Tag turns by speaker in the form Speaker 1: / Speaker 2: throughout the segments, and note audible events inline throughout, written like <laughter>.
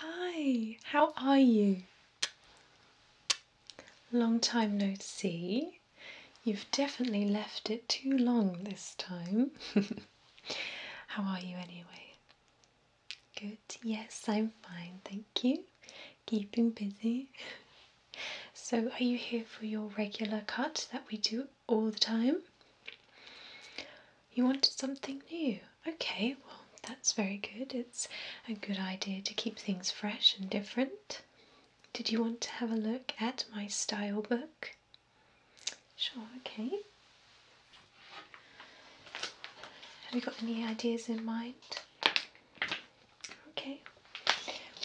Speaker 1: Hi, how are you? Long time no see. You've definitely left it too long this time. <laughs> how are you anyway? Good, yes, I'm fine, thank you. Keeping busy. <laughs> So, are you here for your regular cut that we do all the time? You wanted something new. Okay, well, that's very good. It's a good idea to keep things fresh and different. Did you want to have a look at my style book? Sure, okay. Have you got any ideas in mind? Okay,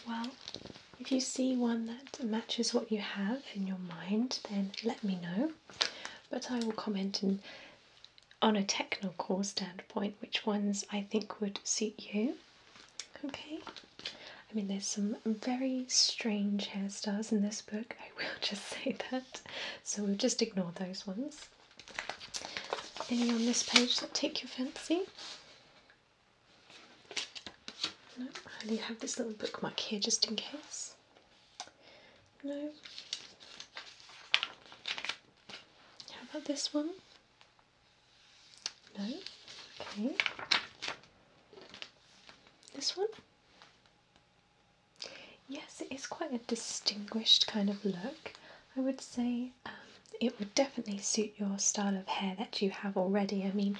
Speaker 1: well, if you see one that matches what you have in your mind, then let me know but I will comment on a technical standpoint which ones I think would suit you. Okay, I mean, there's some very strange hairstyles in this book, I will <laughs> just say that, so we'll just ignore those ones. Any on this page that take your fancy? No, I have this little bookmark here just in case. No. How about this one? No. Okay. This one? Yes, it is quite a distinguished kind of look. I would say um, it would definitely suit your style of hair that you have already. I mean,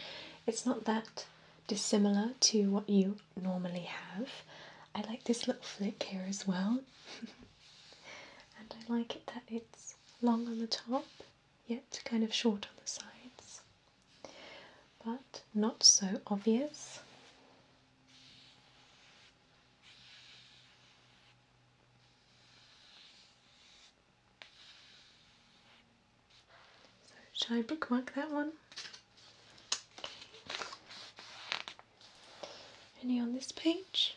Speaker 1: it's not that dissimilar to what you normally have. I like this little flick here as well. <laughs> and I like it that it's long on the top, yet kind of short on the sides. But not so obvious. So, shall I bookmark that one? Any on this page?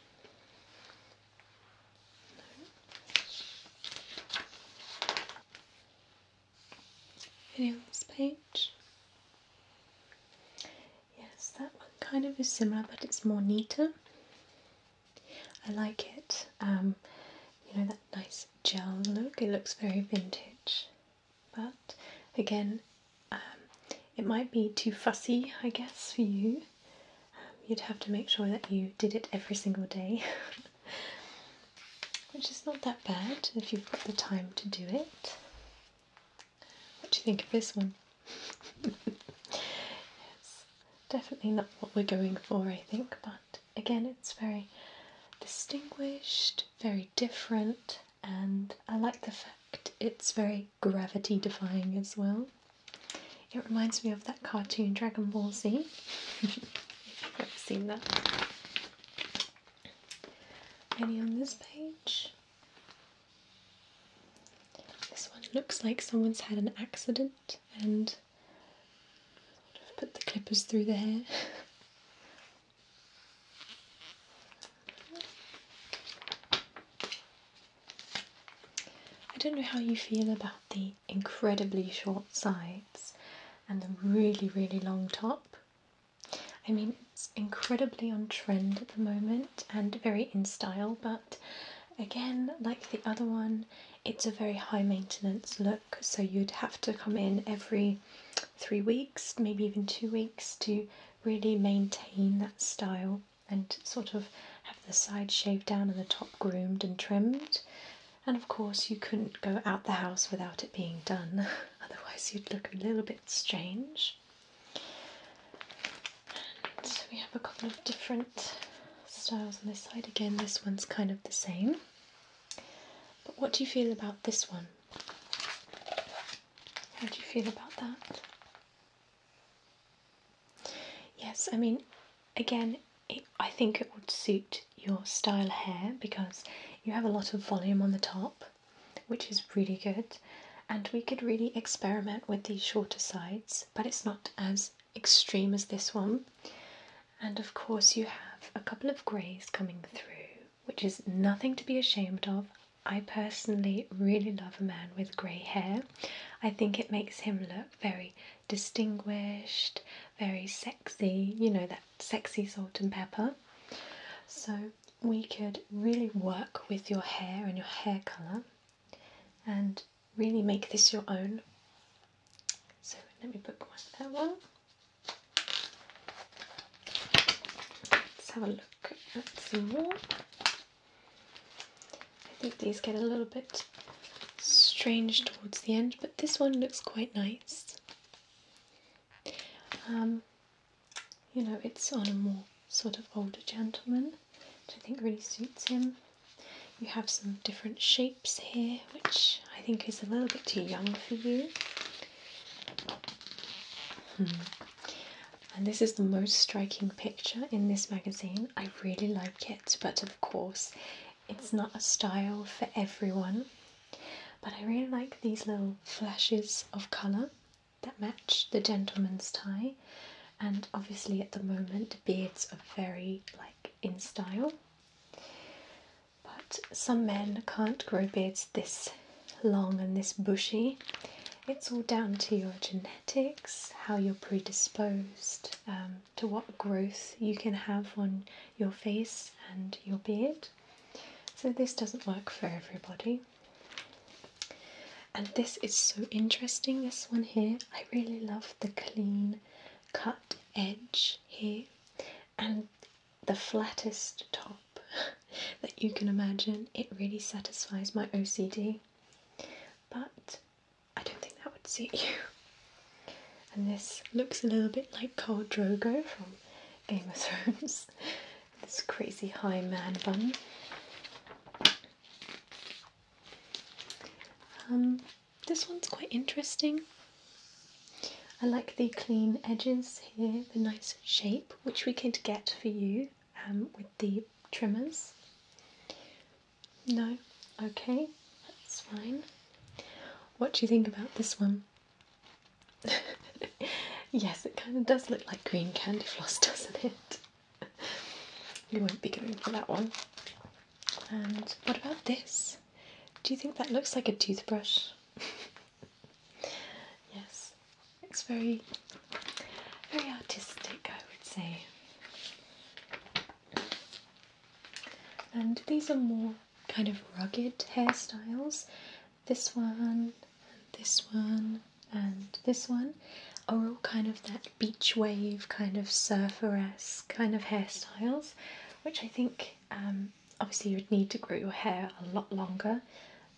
Speaker 1: Any on this page? Yes, that one kind of is similar, but it's more neater. I like it. Um, you know that nice gel look. It looks very vintage. But again, um, it might be too fussy, I guess, for you. Um, you'd have to make sure that you did it every single day, <laughs> which is not that bad if you've got the time to do it. What do you think of this one? It's <laughs> definitely not what we're going for, I think, but again, it's very distinguished, very different, and I like the fact it's very gravity defying as well. It reminds me of that cartoon Dragon Ball Z. <laughs> if you've ever seen that. Any on this page? This one looks like someone's had an accident and put the clippers through the hair. <laughs> I don't know how you feel about the incredibly short sides and the really, really long top. I mean, it's incredibly on trend at the moment and very in style, but again, like the other one, it's a very high maintenance look, so you'd have to come in every three weeks, maybe even two weeks, to really maintain that style and sort of have the sides shaved down and the top groomed and trimmed. And of course, you couldn't go out the house without it being done, <laughs> otherwise, you'd look a little bit strange. And we have a couple of different styles on this side. Again, this one's kind of the same. But what do you feel about this one? How do you feel about that? Yes, I mean, again, I think it would suit your style hair because you have a lot of volume on the top, which is really good. And we could really experiment with these shorter sides, but it's not as extreme as this one. And of course, you have a couple of greys coming through, which is nothing to be ashamed of. I personally really love a man with grey hair. I think it makes him look very distinguished, very sexy, you know, that sexy salt and pepper. So, we could really work with your hair and your hair colour and really make this your own. So, let me bookmark that one. Let's have a look at some more. I think these get a little bit strange towards the end, but this one looks quite nice. Um, you know, it's on a more sort of older gentleman, which I think really suits him. You have some different shapes here, which I think is a little bit too young for you. Hmm. And this is the most striking picture in this magazine. I really like it, but of course, it's not a style for everyone. But I really like these little flashes of colour that match the gentleman's tie. And obviously, at the moment, beards are very like in style. But some men can't grow beards this long and this bushy. It's all down to your genetics, how you're predisposed, um, to what growth you can have on your face and your beard. So, this doesn't work for everybody. And this is so interesting, this one here. I really love the clean cut edge here and the flattest top <laughs> that you can imagine. It really satisfies my OCD, but I don't think that would suit you. And this looks a little bit like Khal Drogo from Game of Thrones. <laughs> this crazy high man bun. Um, this one's quite interesting. I like the clean edges here, the nice shape, which we could get for you um, with the trimmers. No? Okay, that's fine. What do you think about this one? <laughs> yes, it kind of does look like green candy floss, <laughs> doesn't it? <laughs> you won't be going for that one. And what about this? Do you think that looks like a toothbrush? <laughs> yes, it's very, very artistic, I would say. And these are more kind of rugged hairstyles. This one, this one, and this one are all kind of that beach wave, kind of surfer kind of hairstyles, which I think um, obviously, you'd need to grow your hair a lot longer,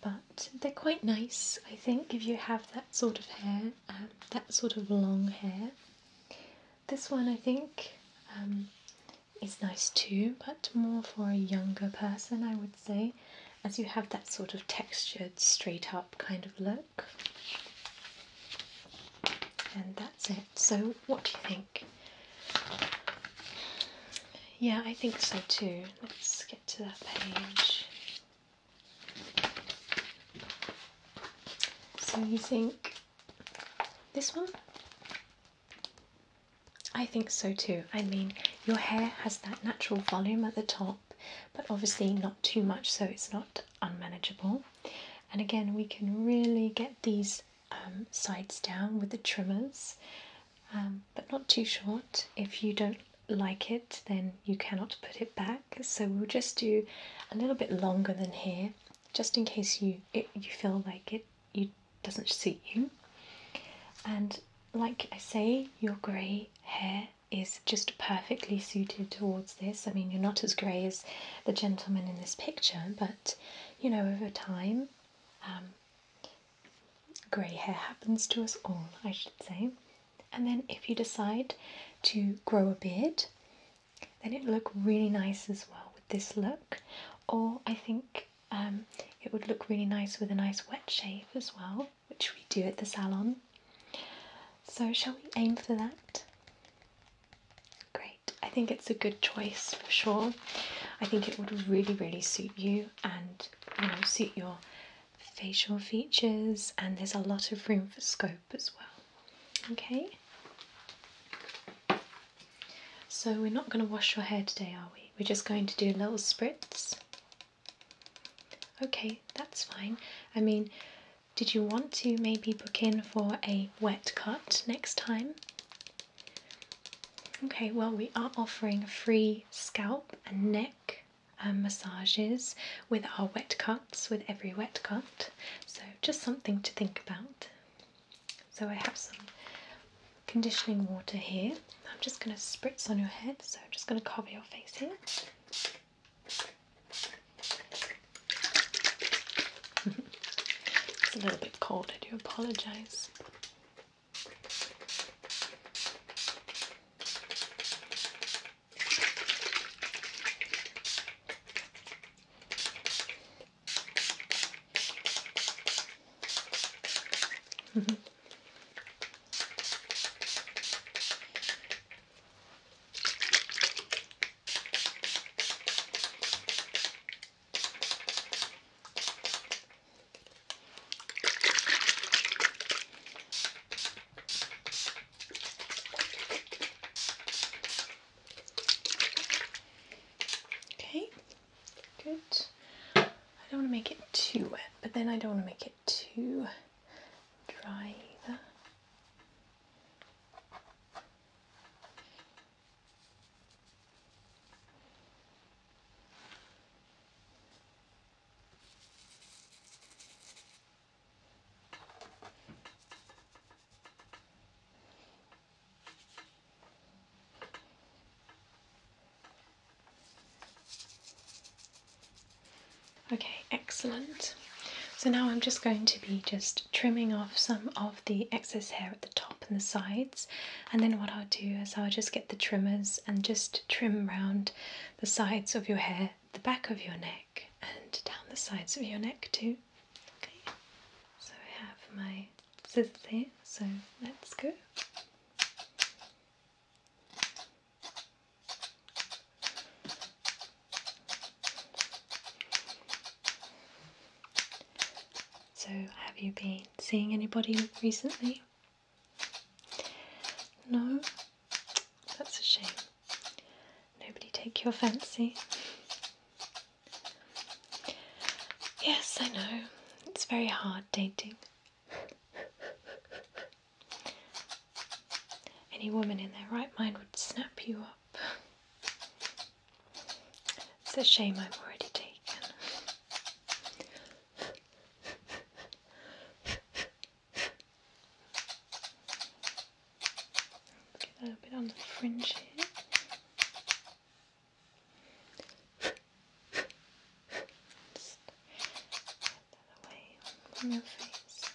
Speaker 1: but they're quite nice, I think, if you have that sort of hair, uh, that sort of long hair. This one, I think, um, is nice too, but more for a younger person, I would say, as you have that sort of textured, straight up kind of look. And that's it. So, what do you think? Yeah, I think so too. Let's get to that page. So you think this one? I think so too. I mean, your hair has that natural volume at the top, but obviously not too much so it's not unmanageable. And again, we can really get these um, sides down with the trimmers, um, but not too short. If you don't like it, then you cannot put it back. So we'll just do a little bit longer than here, just in case you it, you feel like it you doesn't suit you. And like I say, your grey hair is just perfectly suited towards this. I mean, you're not as grey as the gentleman in this picture, but you know, over time, um, grey hair happens to us all, I should say. And then if you decide to grow a beard, then it would look really nice as well with this look. Or I think um, it would look really nice with a nice wet shave as well, which we do at the salon. So, shall we aim for that? Great. I think it's a good choice for sure. I think it would really, really suit you and you know suit your facial features and there's a lot of room for scope as well. Okay. So we're not going to wash your hair today, are we? We're just going to do little spritz. Okay, that's fine. I mean, did you want to maybe book in for a wet cut next time? Okay, well, we are offering free scalp and neck um, massages with our wet cuts, with every wet cut. So, just something to think about. So, I have some conditioning water here. I'm just going to spritz on your head, so I'm just going to cover your face here it's a little bit cold, I do apologize. <laughs> Okay, good. I don't want to make it too wet, but then I don't want to make it too dry Okay, excellent. So now I'm just going to be just trimming off some of the excess hair at the top and the sides. And then what I'll do is I'll just get the trimmers and just trim round the sides of your hair, the back of your neck, and down the sides of your neck too. Okay, so I have my scissors here, so let's go. So, have you been seeing anybody recently? No? That's a shame. Nobody take your fancy. Yes, I know. It's very hard dating. Any woman in their right mind would snap you up. It's a shame I've already taken. Get a little bit on the fringe here. Just get that away from your face.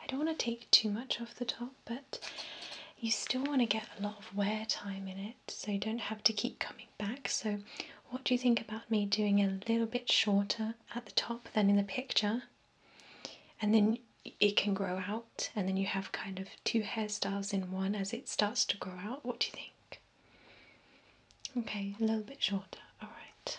Speaker 1: I don't want to take too much off the top, but you still want to get a lot of wear time in it, so you don't have to keep coming back. So, what do you think about me doing a little bit shorter at the top than in the picture? And then it can grow out, and then you have kind of two hairstyles in one as it starts to grow out. What do you think? Okay, a little bit shorter, all right.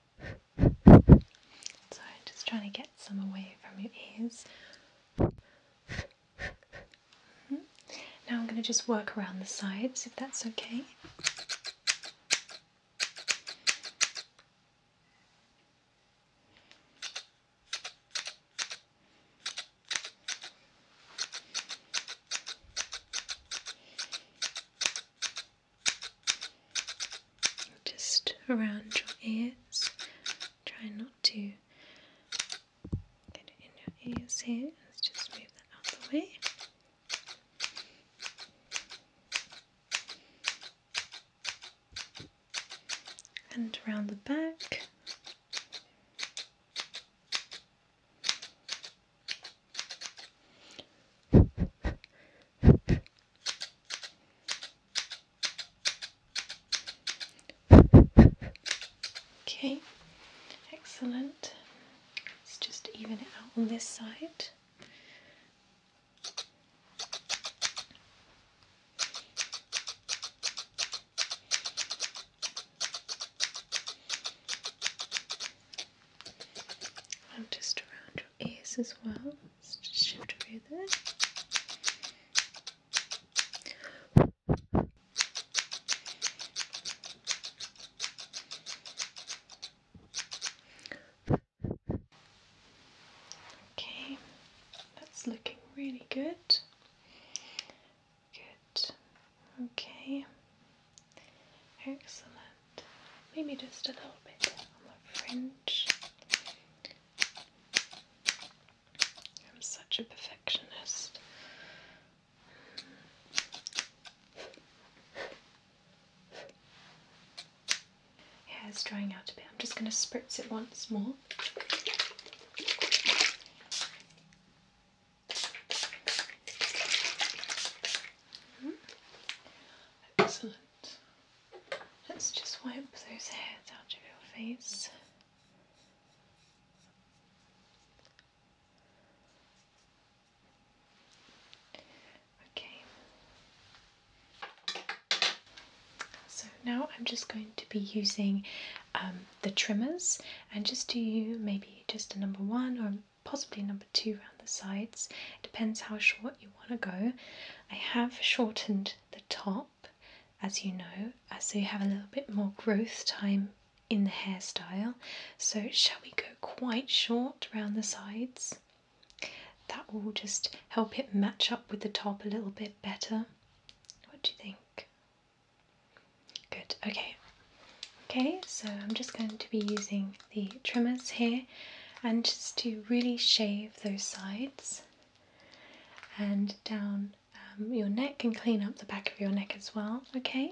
Speaker 1: so I'm just trying to get some away from your ears. Mm-hmm. Now I'm going to just work around the sides if that's okay just around your ears. Try not to get it in your ears here. Let's just move that out the way. And around the back. <laughs> <laughs> Okay, excellent. Let's just even it out on this side. And just around your ears as well. Let's just shift over there. Okay, that's looking really good. Good. Okay. Excellent maybe just a little bit on the fringe. I'm such a perfectionist. Hair is drying out a bit. I'm just going to spritz it once more. Hmm? Excellent. Let's just wipe those hairs out of your face. Okay. So now I'm just going to be using um, the trimmers and just do maybe just a number one or possibly a number two the sides. depends how short you want to go. I have shortened the top, as you know, uh, so you have a little bit more growth time in the hairstyle. So, shall we go quite short around the sides? That will just help it match up with the top a little bit better. What do you think? Good, okay. Okay, so I'm just going to be using the trimmers here and just to really shave those sides and down um, your neck and clean up the back of your neck as well, okay?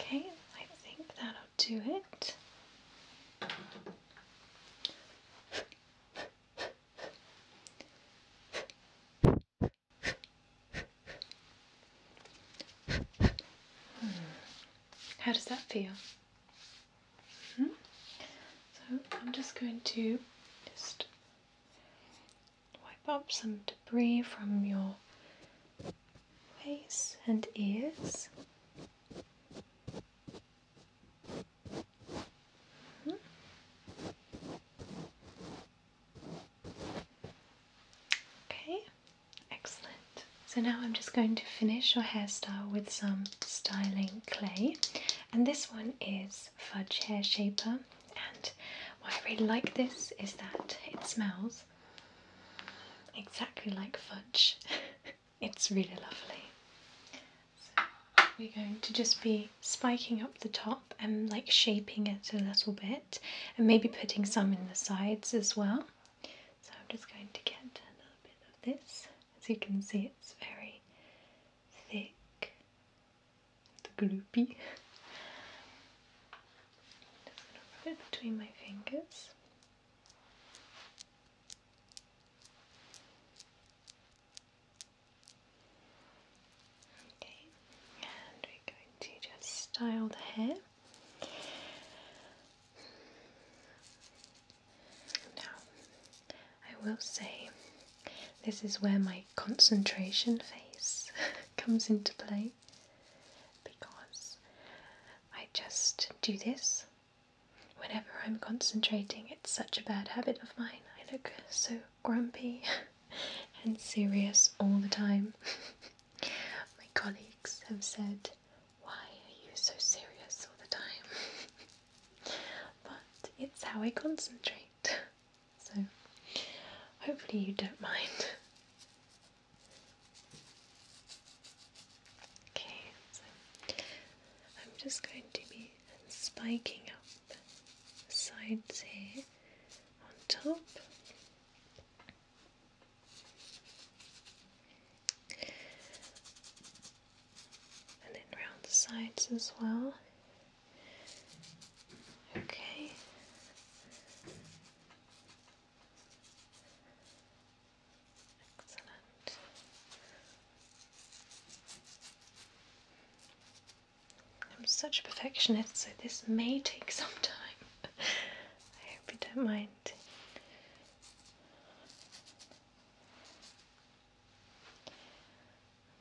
Speaker 1: Okay, I think that'll do it. Hmm. How does that feel? Hmm? So I'm just going to just Wipe up some debris from your face and ears. Mm-hmm. Okay, excellent. So now I'm just going to finish your hairstyle with some styling clay, and this one is fudge hair shaper, and what I really like this is that it smells exactly like fudge. <laughs> it's really lovely. we're going to just be spiking up the top and like shaping it a little bit, and maybe putting some in the sides as well. So I'm just going to get a little bit of this. As you can see, it's very thick and gloopy. <laughs> between my fingers. Okay, and we're going to just style the hair. Now, I will say this is where my concentration phase <laughs> comes into play because I just do this whenever I'm concentrating. It's such a bad habit of mine. I look so grumpy <laughs> and serious all the time. <laughs> my colleagues have said, Why are you so serious all the time? But it's how I concentrate. So hopefully you don't mind. Okay, so I'm just going to be spiking up the sides here on top and then round the sides as well. Okay. Excellent. I'm such a perfectionist, so this may take some time. <laughs> I hope you don't mind.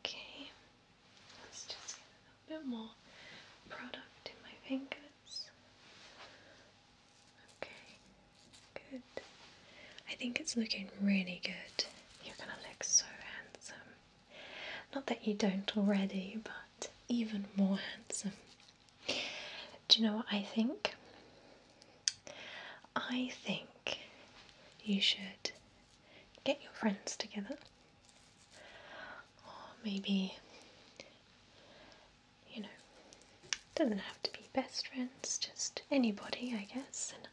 Speaker 1: Okay, let's just get a bit more product in my fingers. Okay, good. I think it's looking really good. You're gonna look so handsome. Not that you don't already, but even more handsome. Do you know what I think? I think you should get your friends together, or maybe, you know, doesn't have to be best friends, just anybody, I guess. And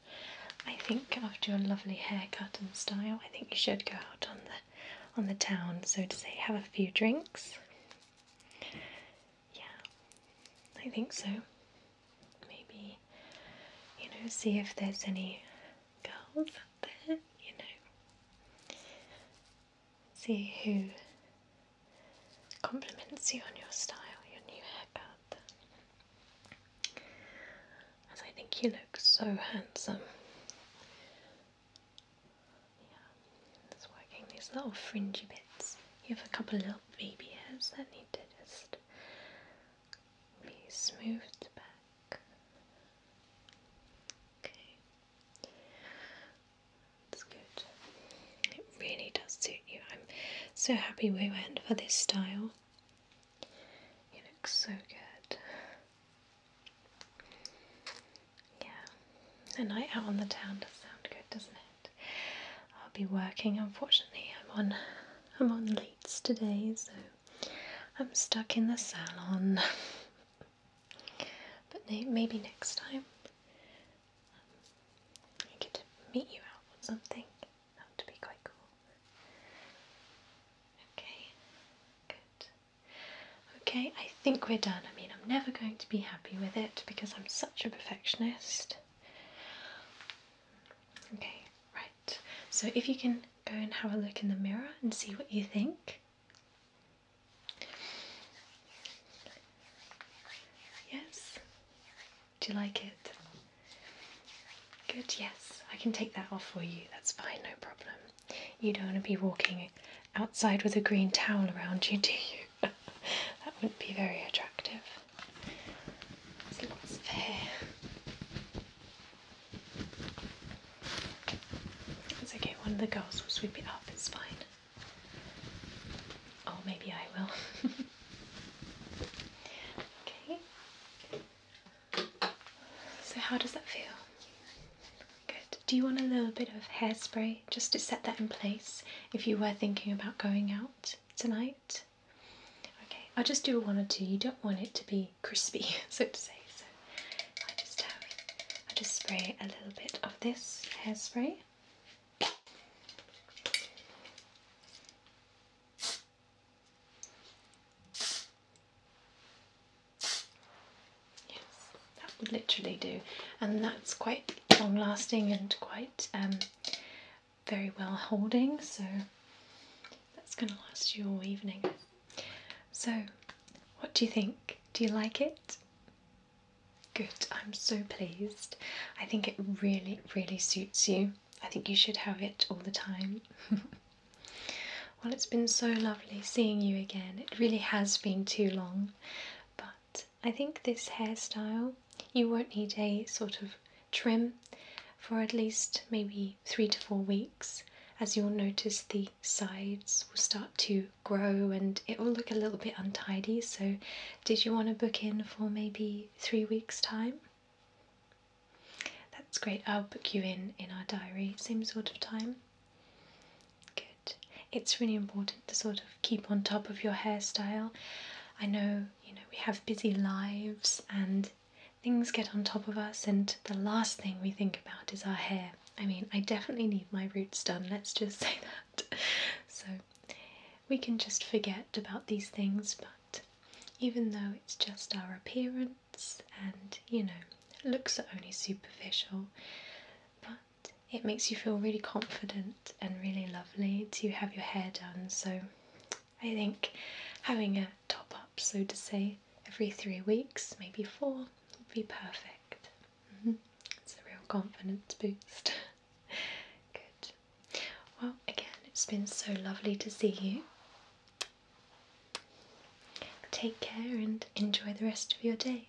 Speaker 1: I think after a lovely haircut and style, I think you should go out on the on the town, so to say, have a few drinks. Yeah, I think so maybe you know see if there's any girls out there you know see who compliments you on your style your new haircut as I think you look so handsome yeah, just working these little fringy bits you have a couple of little baby hairs that need to just be smoothed back. Okay, that's good. It really does suit you. I'm so happy we went for this style. You look so good. Yeah, a night out on the town does sound good, doesn't it? I'll be working. Unfortunately, I'm on I'm on leads today, so I'm stuck in the salon. but maybe next time um, I get to meet you out on something. That would be quite cool. Okay, good. Okay, I think we're done. I mean, I'm never going to be happy with it because I'm such a perfectionist. Okay, right. So if you can go and have a look in the mirror and see what you think. Yes? Do you like it? Good, yes. I can take that off for you. That's fine, no problem. You don't want to be walking outside with a green towel around you, do you? that wouldn't be very attractive. There's lots of hair. It's okay, one of the girls will sweep it up, it's fine. Oh, maybe I will. <laughs> okay. So, how does that feel? Good. Do you want a little bit of hairspray just to set that in place if you were thinking about going out? tonight? Okay, I'll just do one or two. You don't want it to be crispy, <laughs> so to say. So I just have, I just spray a little bit of this hairspray. Yes, that would literally do, and that's quite long-lasting and quite um, very well holding, so that's going to last you all evening. So, what do you think? Do you like it? Good, I'm so pleased. I think it really, really suits you. I think you should have it all the time. <laughs> well, it's been so lovely seeing you again. It really has been too long, but I think this hairstyle you won't need a sort of trim for at least maybe three to four weeks, as you'll notice the sides will start to grow and it will look a little bit untidy. So, did you want to book in for maybe three weeks' time? That's great. I'll book you in in our diary, same sort of time. Good. It's really important to sort of keep on top of your hairstyle. I know, you know, we have busy lives and things get on top of us, and the last thing we think about is our hair. I mean, I definitely need my roots done, let's just <laughs> say that. So we can just forget about these things, but even though it's just our appearance and, you know, looks are only superficial, but it makes you feel really confident and really lovely to have your hair done. So I think having a top up, so to say, every three weeks, maybe four, would be perfect. Mm-hmm. It's a real confidence boost. <laughs> Good. Well, again, it's been so lovely to see you. Take care and enjoy the rest of your day.